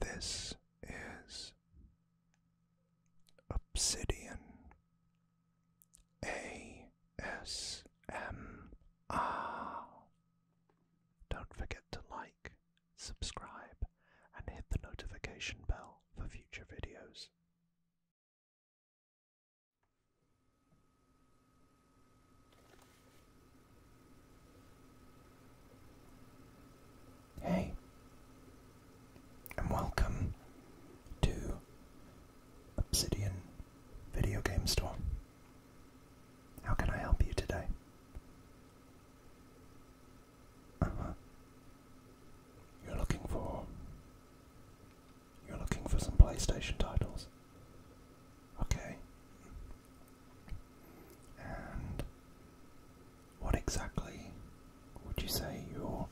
This is Obsidian ASMR. Don't forget to like, subscribe, and hit the notification bell for future videos. Hey, and welcome to Obsidian Video Game Store. How can I help you today? Uh huh. You're looking for. You're looking for some PlayStation titles. Okay. And what exactly would you say your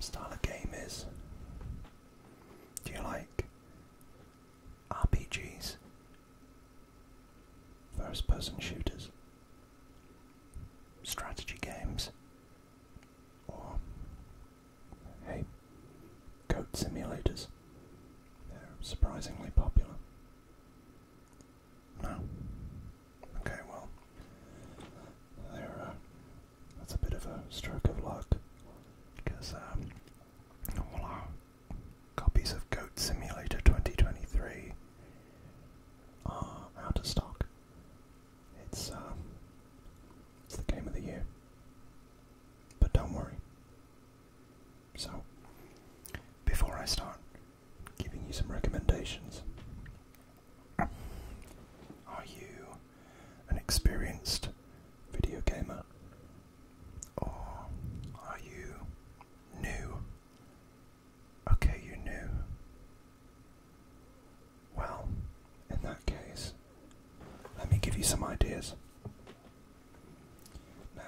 style of game is? Do you like RPGs? First person shooters? Strategy games? Or Hey, goat simulators. They're surprisingly popular. No. Okay, well, there. Uh, that's a bit of a stroke of luck, because all um, our copies of Goat Simulator 2023 are out of stock. Um, it's the game of the year. But don't worry, so, before I start giving you some recommendations, are you an experienced video gamer? Or are you new? Okay, you new. Well, in that case, let me give you some ideas. Now,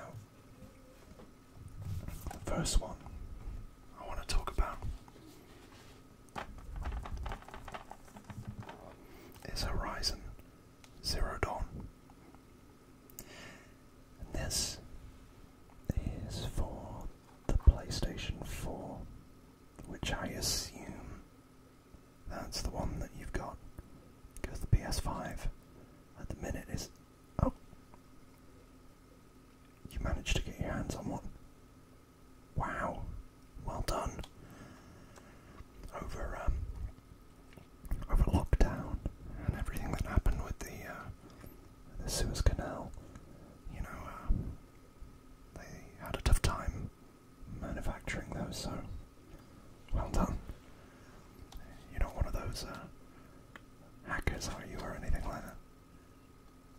the first one I want to talk about is Horizon Zero Dawn. this is for the PlayStation 4, which I assume that's the one that you've got. Because the PS5 at the minute is. Oh! You managed to get your hands on one. Wow! Well done! Over, um, over lockdown and everything that happened with the, uh, the Suez Canal, you know, uh, they had a tough time manufacturing though, so well done. You're not one of those uh, hackers, are you, or anything like that?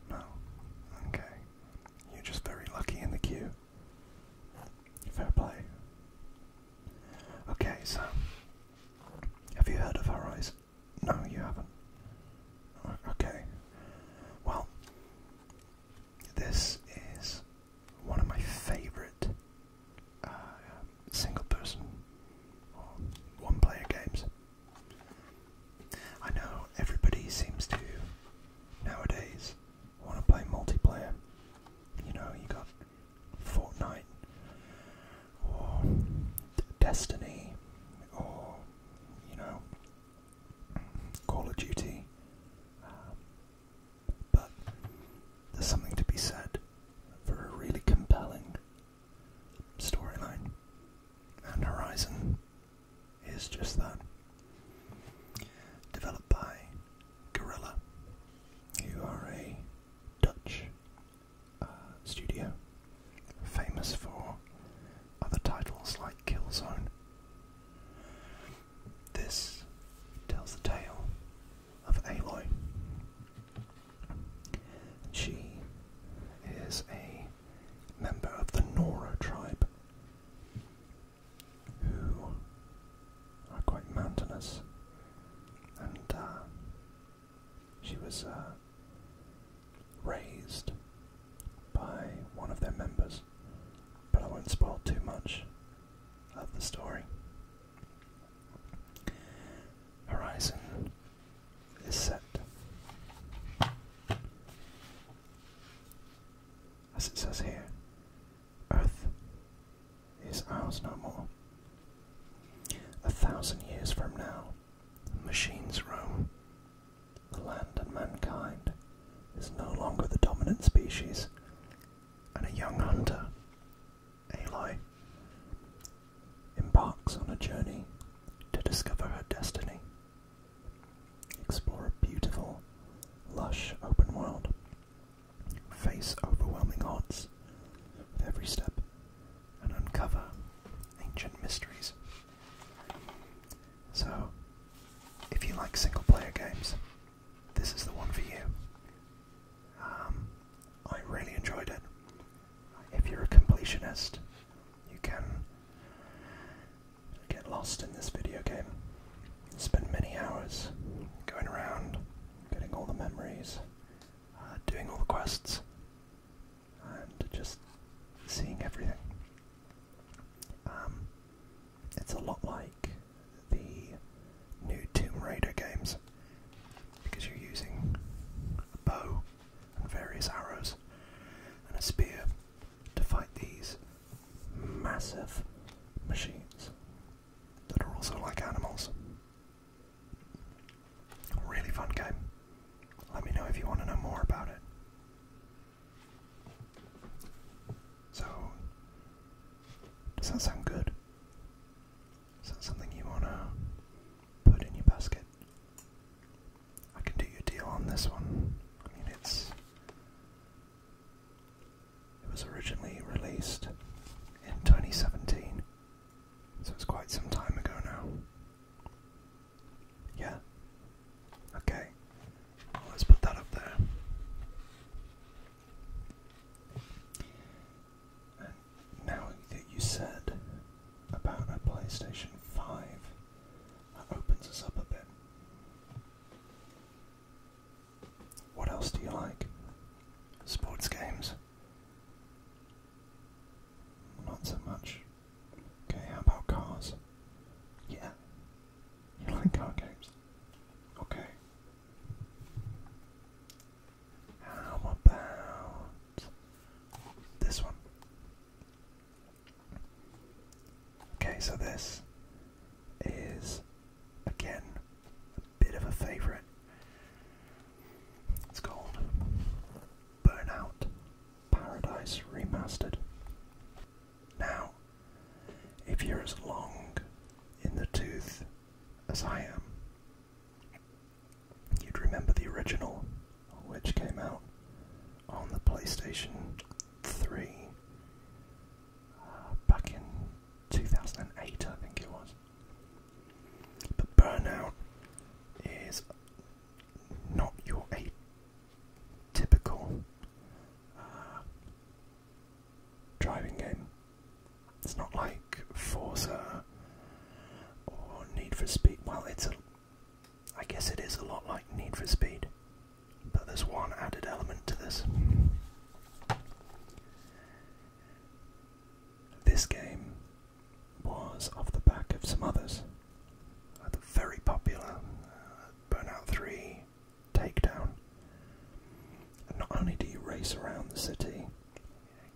No. Okay. You're just very lucky in the queue. Fair play. Okay, so have you heard of Horizon? No, you haven't. Okay. Well, this is one of my favourite uh, single person or one player games. I know everybody seems to nowadays want to play multiplayer. You know, you got Fortnite or Destiny or, you know, Call of Duty. Um, but there's something to be said for a really compelling storyline. And Horizon is just that. Developed by Gorilla, who are a Dutch uh, studio famous for other titles like Killzone. This tells the tale of Aloy. She is a member of the Nora tribe, who are quite mountainous, and uh, she was uh, raised by one of their members but I won't spoil too much of the story. Horizon is set. As it says here, Earth is ours no more. A thousand years from now, machines roam the land and mankind is no longer the dominant species, and a young hunter, Aloy, embarks on a journey to discover her destiny. Explore a beautiful, lush open world. Face overwhelming odds with every step and uncover ancient mysteries. So, if you like single player games, this is the one for you. Um, I really enjoyed it. If you're a completionist, you can get lost in this video game. Spend many hours going around, getting all the memories, uh, doing all the quests, and just seeing everything. Um, it's a lot like the new Tomb Raider games because you're using a bow and various arrows and a spear to fight these massive machines that are also like animals. Really fun game. Let me know if you want to know more about it. So, does that sound good? Is that something you want to put in your basket? I can do you deal on this one. I mean, it's. It was originally released in 2017, so it's quite some time ago now. Yeah, Okay, let's put that up there. And now that you said about a PlayStation 5, that opens us up a bit. What else do you like? Sports games? Not so much. Okay, how about cars? Yeah. You like card games? Okay. How about this one? Okay, so this is again a bit of a favourite. It's called Burnout Paradise Remastered. Now, if you're as long in the tooth as I am, you'd remember the original, which came out on the PlayStation 3 uh, back in 2008, I think it was. But Burnout is not your age typical uh, driving game. It's not like Forza or Need for Speed. Well, it's a, I guess it is a lot like Need for Speed, but there's one added element to this. This game was off the back of some others. the very popular uh, Burnout 3, Take down. And not only do you race around the city,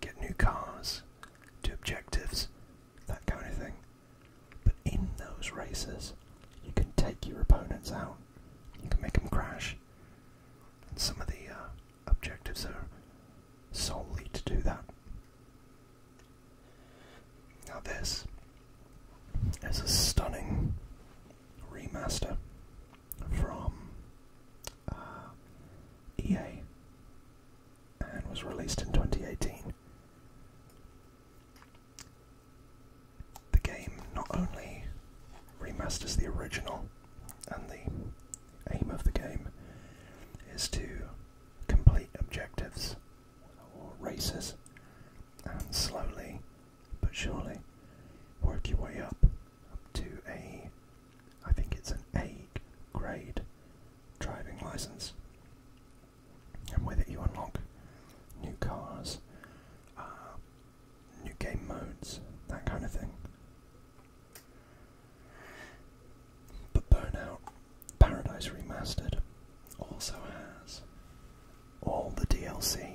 get new cars, do objectives, that kind of thing, but in those races, you can take your opponents out, you can make them crash. And some of the uh, objectives are solely to do that. Now, this is a stunning remaster from uh, EA and was released in 2018. The game not only remasters the original, and the aim of the game is to complete objectives or races and slowly but surely work your way up, to a, I think it's an A grade driving license. And with it, you unlock new cars, uh, new game modes, that kind of thing. But Burnout Paradise Remastered also has all the DLC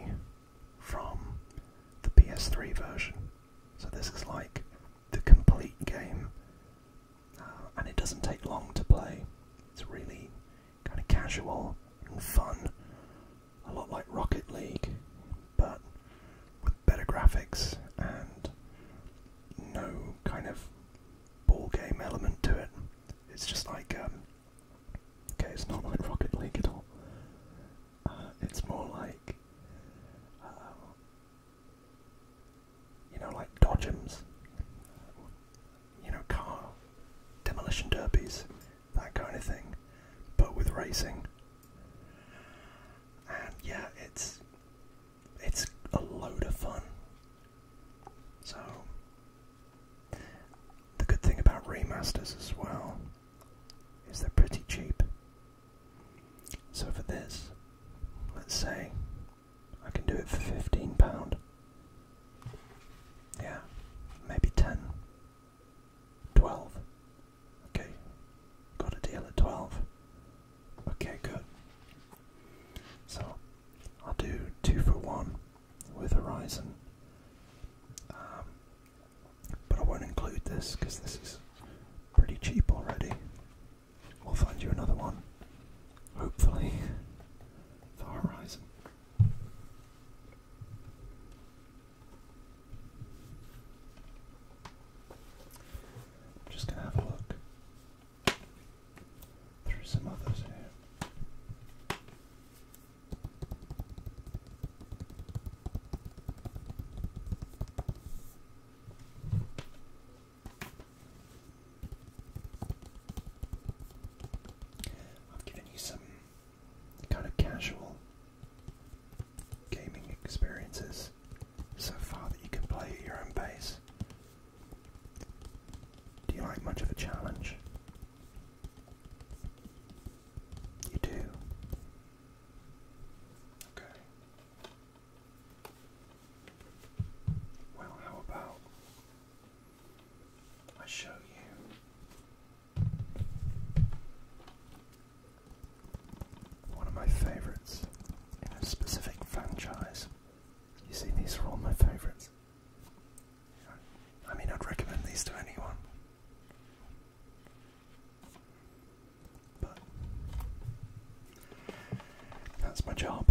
from the PS3 version. So this is like the complete game, uh, and it doesn't take long to play. It's really kind of casual and fun, a lot like Rocket League, but with better graphics and no kind of ball game element to it. It's just like um, Okay, it's not like Rocket League at all. Uh, it's more like, uh, you know, like Dodgems, you know, car demolition derbies, that kind of thing, but with racing. And yeah, it's it's a load of fun. So, the good thing about remasters as well is they're pretty cheap. So for this, let's say I can do it for £15. Yeah, maybe 10 Okay, got a deal at 12 Okay, good. So I'll do two for one with Horizon. Um, but I won't include this because this is pretty cheap already. We'll find you another one, hopefully, the Horizon. I'm just going to have a look through some others here. I've given you some kind of casual gaming experiences so far that you can play at your own pace do you like much of a challenge? You do. Okay. Well, how about I show you one of my favorites in a specific franchise? You see, these are all my favorites. I mean, I'd recommend these to anyone. But that's my job.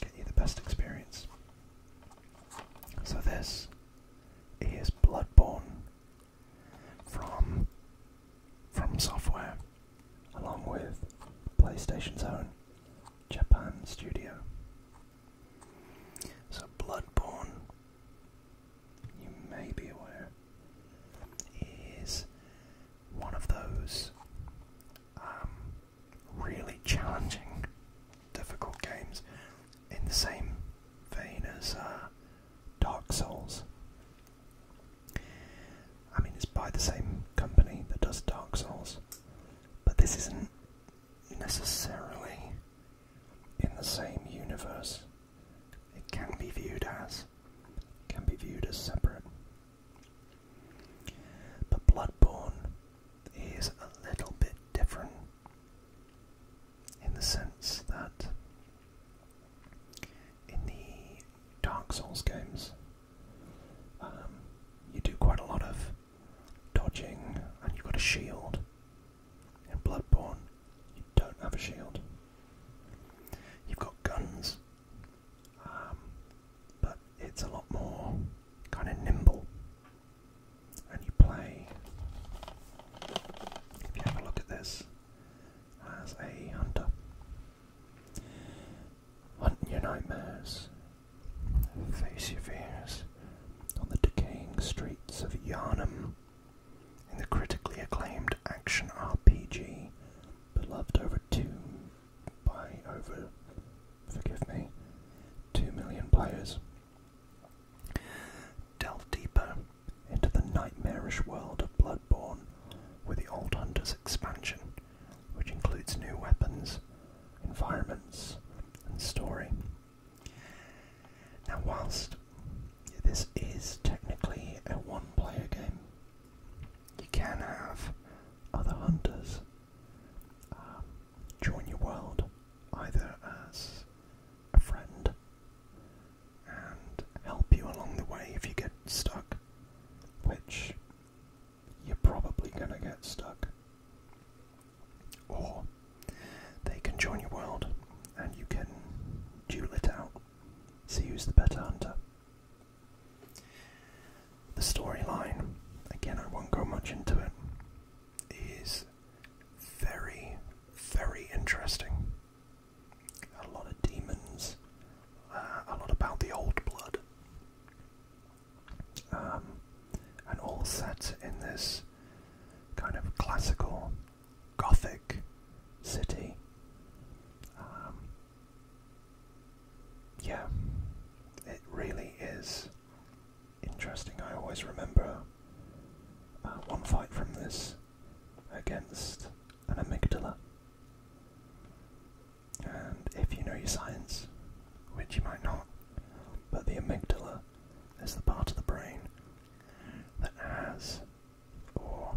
Get you the best experience. So this is Bloodborne from from software along with PlayStation's own Japan studio. So Bloodborne, you may be aware, is one of those um, really challenging, difficult games in the same vein as uh, Dark Souls. I mean, it's by the same company that does Dark Souls, but this isn't necessarily in the same universe. It can be viewed as can be viewed as separate. But Bloodborne is a little bit different in the sense that in the Dark Souls games, um, you do quite a lot of dodging, and you've got a shield. In Bloodborne, you don't have a shield. You've got guns, um, but it's a lot more kind of nimble. And you play, if you have a look at this, as a hunter hunt your nightmares, face your fears on the decaying streets of Yarnum in the critically acclaimed action RPG, beloved over two by over, forgive me, two million players. Delve deeper into the nightmarish world of Bloodborne, where the old hunters expansion, which includes new weapons, environments, and story. Now, whilst this is technically a one player game, you can have other hunters uh, join your world either as a friend and help you along the way if you get stuck, which you're probably going to get stuck. Or they can join your world and you can duel it out, see who's the better hunter. The storyline, again, I won't go much into it, is very, very interesting. A lot of demons, uh, a lot about the old blood, um, and all set in this kind of classical Gothic city. Um, yeah, it really is interesting. I always remember uh, one fight from this against an amygdala. And if you know your science, which you might not, but the amygdala is the part of the brain that has or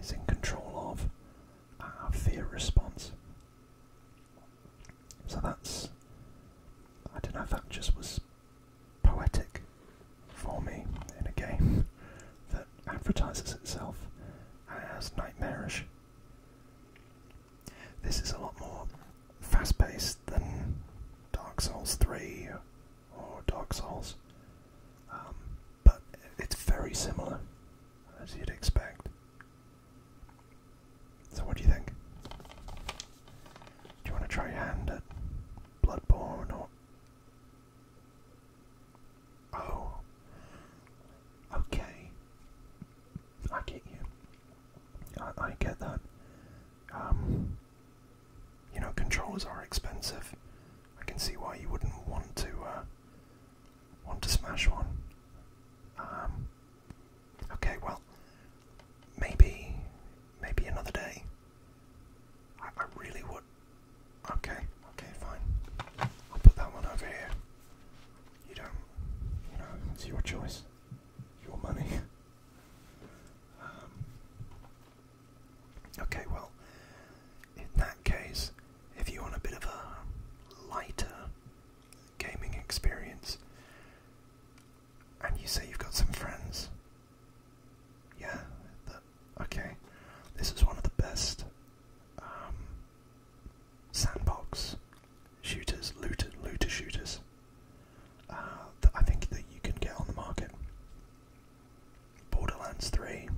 is in control of our fear response. So that's. I don't know that just was poetic for me in a game that advertises itself as nightmarish this is a lot more fast paced than Dark Souls 3 or Dark Souls, um, but it's very similar as you'd expect. So, what do you think? Do you want to try your hand at Bloodborne Oh. Okay. I get you. I, get that. Um, you know, controllers are expensive. I can see why you wouldn't want to, uh, want to smash one. Um, okay, well, maybe, maybe another day. I really would Okay, okay, fine. I'll put that one over here. You don't, you know, it's your choice, your money. Um, okay, well, in that case, if you want a bit of a lighter gaming experience, and you say you've got some friends, yeah, okay, this is one of the best um, sandbox shooters, looter, looter shooters uh, I think that you can get on the market. Borderlands 3,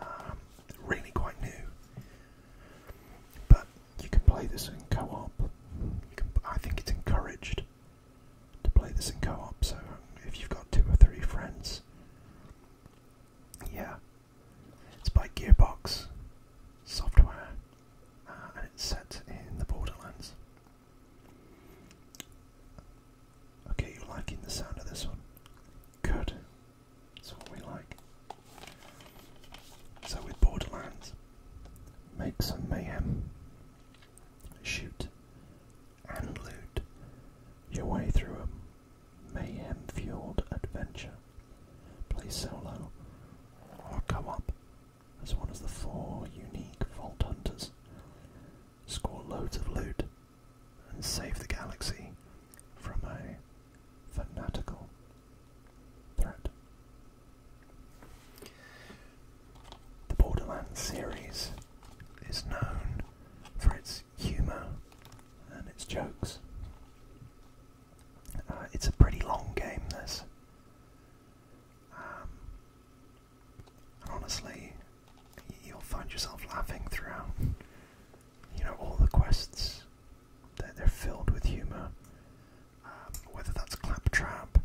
um, really quite new, but you can play this in co-op. I think it's encouraged to play this in co-op. So if you've got two or three friends, yeah, it's by Gearbox Software uh, and it's set in the Borderlands. Okay, you're liking the sound of this one? Good. That's what we like. So, with Borderlands, make some mayhem, shoot, and loot your way through a mayhem-fueled adventure. Play solo or co up as one of the four unique Vault Hunters. Score loads of loot and save the galaxy from a fanatical threat. The Borderlands series is known for humour and its jokes. Uh, it's a pretty long game, this. Um, and honestly, you'll find yourself laughing throughout. You know, all the quests, they're, filled with humour. Um, whether that's Claptrap,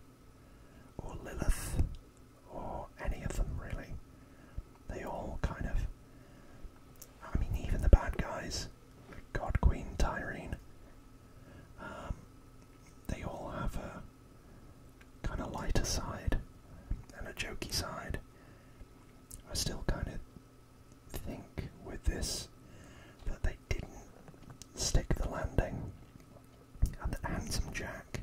or Lilith, or any of them really. They all kind of. I mean, even the bad guys, God Queen Tyrene, um, they all have a kind of lighter side and a jokey side. I still kind of think with this that they didn't stick the landing. And Handsome Jack,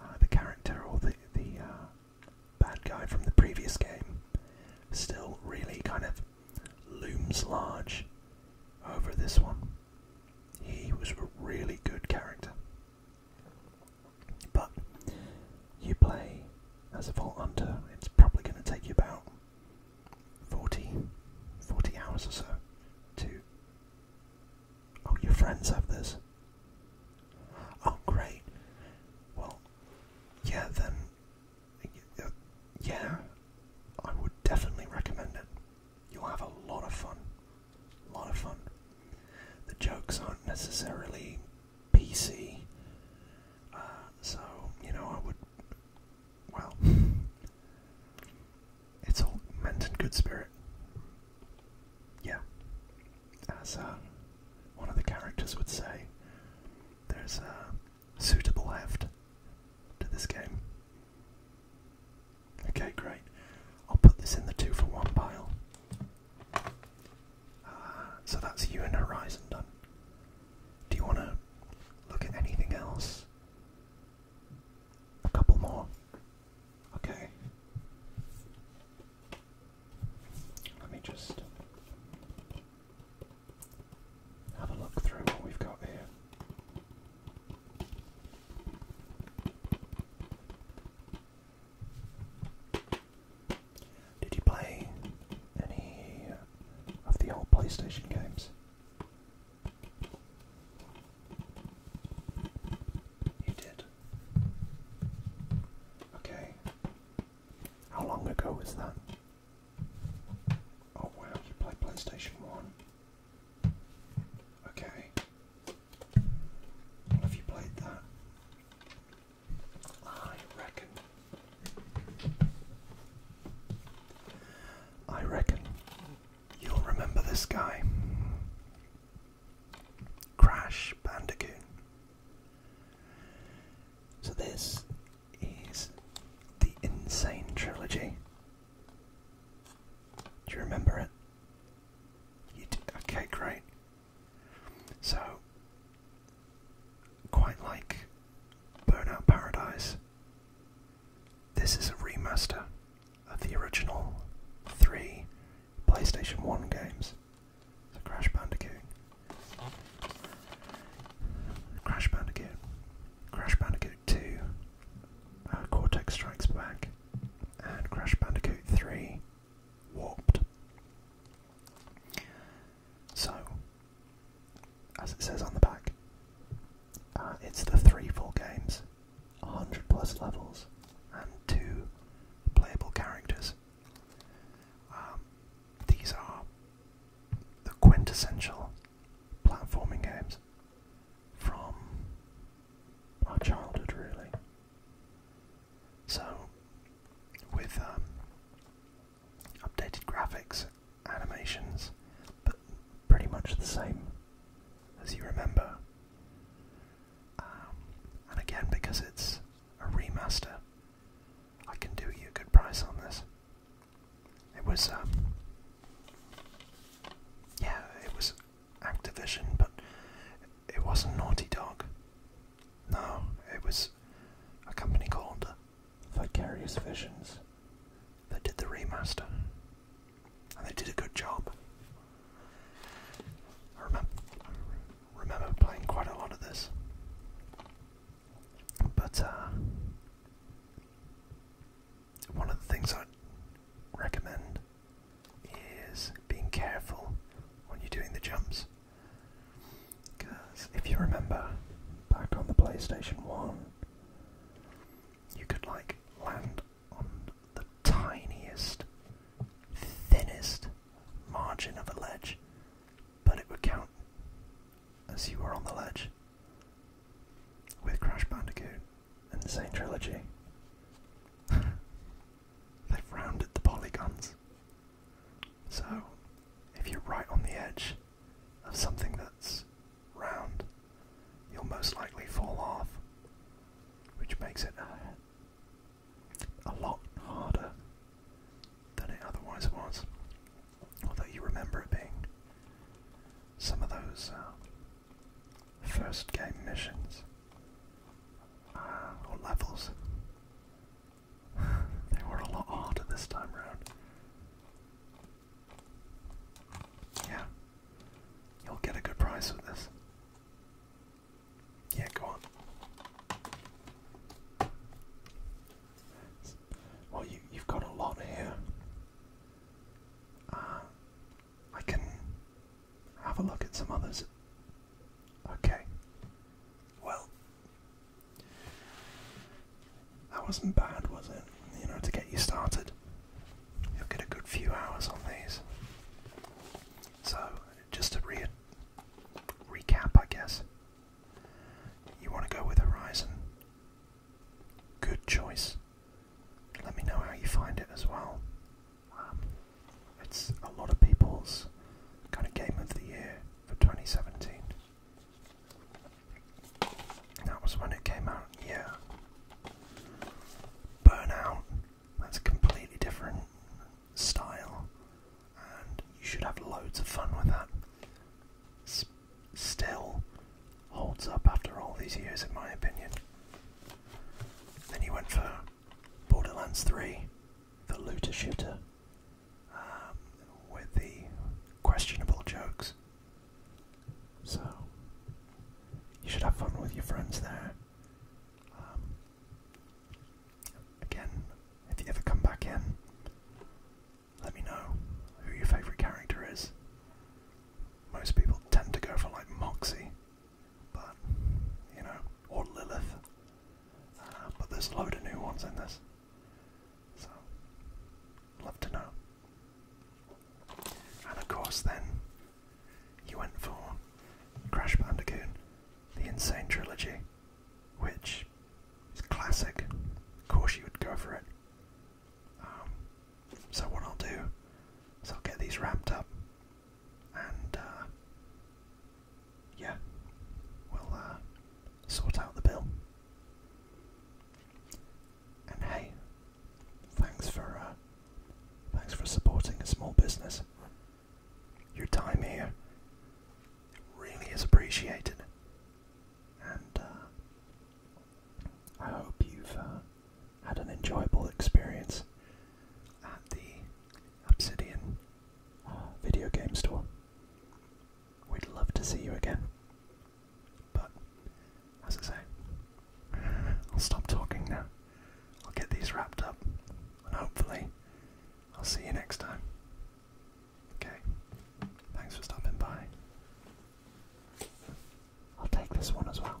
uh, the character or the the uh, bad guy from the previous game still really kind of looms large over this one. He was a really good character. But you play as a Vault Hunter, it's probably going to take you about 40, 40 hours or so to. Oh, your friends have this. Oh, great. Well, yeah, then. Yeah, I would definitely recommend it. You'll have a lot of fun. A lot of fun. The jokes aren't necessarily PC, uh, so, you know, I would. Well, it's all meant in good spirit. Yeah. As um, one of the characters would say, there's a suitable heft to this game. Okay, great. I'll put this in the two for one pile. Uh, so that's you and Horizon done. Do you want to look at anything else? A couple more. Okay. Let me just have a look through what we've got here. Did you play any of the old PlayStation games? You did. Okay. How long ago was that? Oh wow, you played PlayStation 1. Okay. Well, you played that, I reckon. I reckon you'll remember this guy. Crash Bandicoot. So, this is the Insane Trilogy. Do you remember it? You did? Okay, great. So, quite like Burnout Paradise, this is a remaster of the original three PlayStation 1 games. So Crash Bandicoot. Crash Bandicoot. Crash Bandicoot 2. Uh, Cortex Strikes Back. And Crash Bandicoot 3. Warped. So, as it says on the back, uh, it's the three full games 100 plus levels and two playable characters. Um, these are the quintessential platforming games from our childhood, really. So, with um, updated graphics, animations, but pretty much the same as you remember, um, and again, because it's a remaster, I can do you a good price on this. It was, um, yeah, it was Activision, but it wasn't Naughty Dog. No, it was a company called Vicarious Visions that did the remaster, and they did a good job. I remember, playing quite a lot of this. But uh, one of the things i recommend is being careful when you're doing the jumps. Because if you remember back on the PlayStation 1, you could like land on the tiniest, thinnest margin of a ledge, but it would count as you were on the ledge. With Crash Bandicoot in the same trilogy, they've rounded the polygons. So, if you're right on the edge of something that's round, you'll most likely fall off, which makes it a lot harder than it otherwise was. Although you remember it being some of those uh, first game missions uh, or levels. they were a lot harder this time round. Yeah, you'll get a good price with this. Yeah, go on. Well, you, you've got a lot here. Uh, I can have a look at some others. Okay. Well, that wasn't bad, was it? You know, to get you started you'll get a good few hours on these. So, just to recap, I guess, you want to go with Horizon. Good choice. Let me know how you find it as well. Um, it's a lot of people's kind of game of the year for 2017. That was when it came out, yeah. Burnout that's a completely different style, and you should have loads of fun with that. still holds up after all these years, in my opinion. Then you went for Borderlands 3, the looter shooter, um, with the questionable jokes. So, you should have fun with your friends there. Um, again, if you ever come back in, let me know who your favourite character is. Most people tend to go for like Moxie, but you know, or Lilith. Uh, but there's a load of new ones in this, so love to know. And of course, then you went for Crash Bandicoot, the Insane Trilogy, which is classic. Of course, you would go for it. Um, so, what I'll do is I'll get these ramped up and uh, yeah, we'll uh, sort out the bill. And hey, Thanks for uh, thanks for supporting a small business. Your time here really is appreciated, and uh, I hope you've uh, had an enjoyable experience at the Obsidian video game store. We'd love to see you again, but as I say, I'll stop talking now. I'll get these wrapped up, and hopefully, I'll see you next time. Okay, thanks for stopping by. I'll take this one as well.